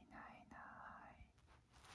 いないいない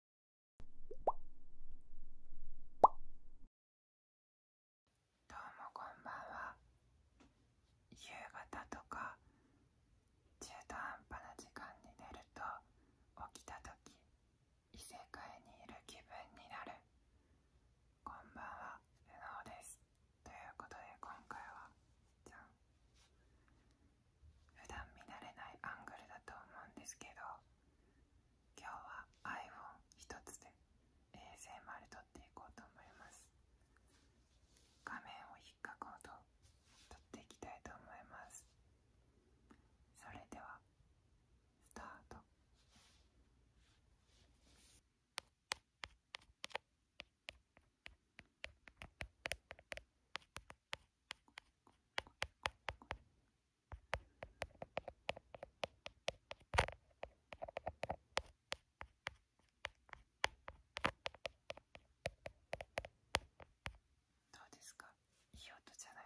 どうもこんばんは夕方とか中途半端な時間に寝ると起きた時異世界にいる気分になるこんばんはルノーですということで今回はじゃ普段見慣れないアングルだと思うんですけど今日は iPhone1 つで ASMR 撮っていこうと思います画面を引っかこうと撮っていきたいと思いますそれではスタート「どうですかいい音じゃない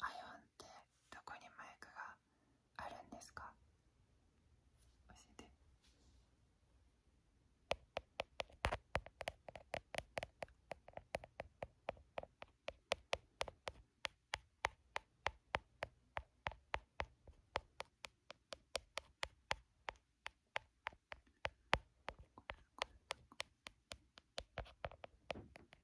アイ h ンってどこにマイクがあるんですか教えて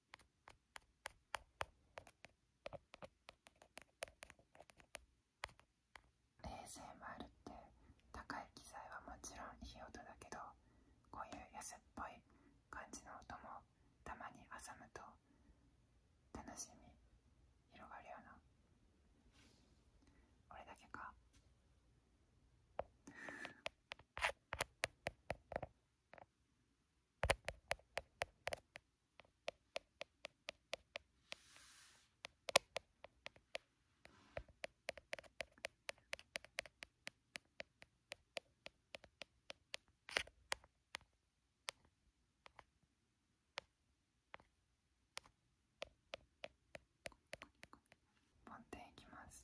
冷 a もあるって高い機材はもちろんいい音だけどこういう安っぽい感じの音もたまに挟むと楽しみ広がるよなこれだけか持っていきます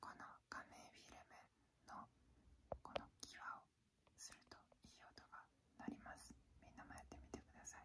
この画面フィルムのこの際をするといい音が鳴りますみんなもやってみてください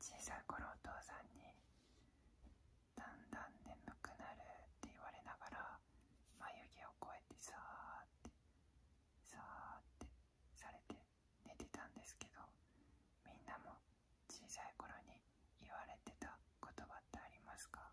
小さい頃お父さんにだんだん眠くなるって言われながら眉毛を越えてさーってさーってされて寝てたんですけどみんなも小さい頃に言われてた言葉ってありますか「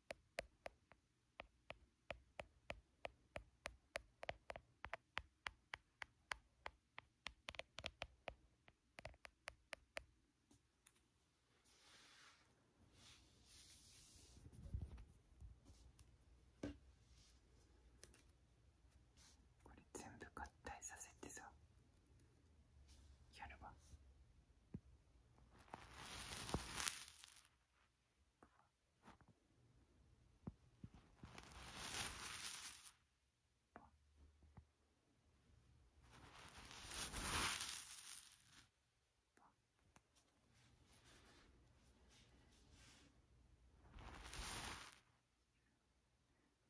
これ全部合体させてさやれば。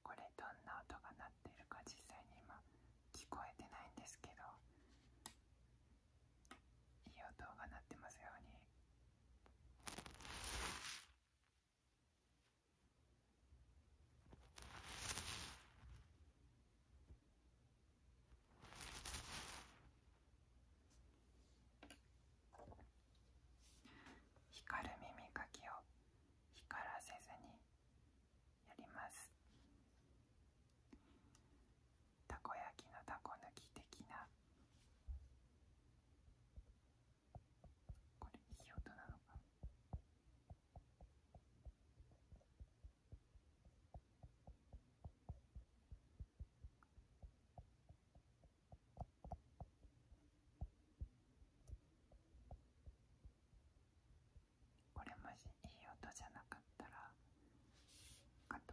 これどんな音が鳴ってるか実際に今聞こえてないんですけどいい音が鳴ってますように。光る耳かきを光らせずにやりますたこ焼きのたこ抜き的なこれいい音なのかこれもしいい音じゃなかったらカと。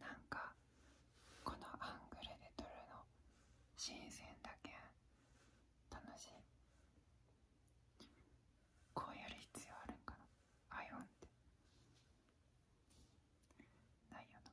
なんかこのアングルで撮るの新鮮だけん楽しいこうやる必要あるんかなアイオンってないよな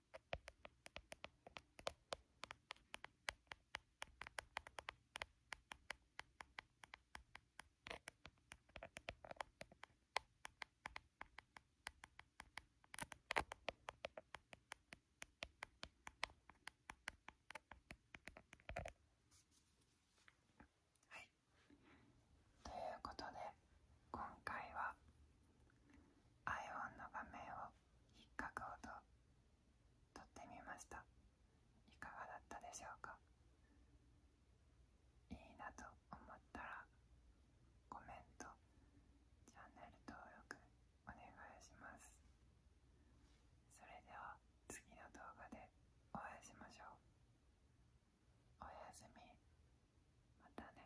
はいということで今回は i o n の画面を引っかく音とってみましたいかがだったでしょうかいいなと思ったらコメントチャンネル登録お願いしますそれでは次の動画でお会いしましょうおやすみまたね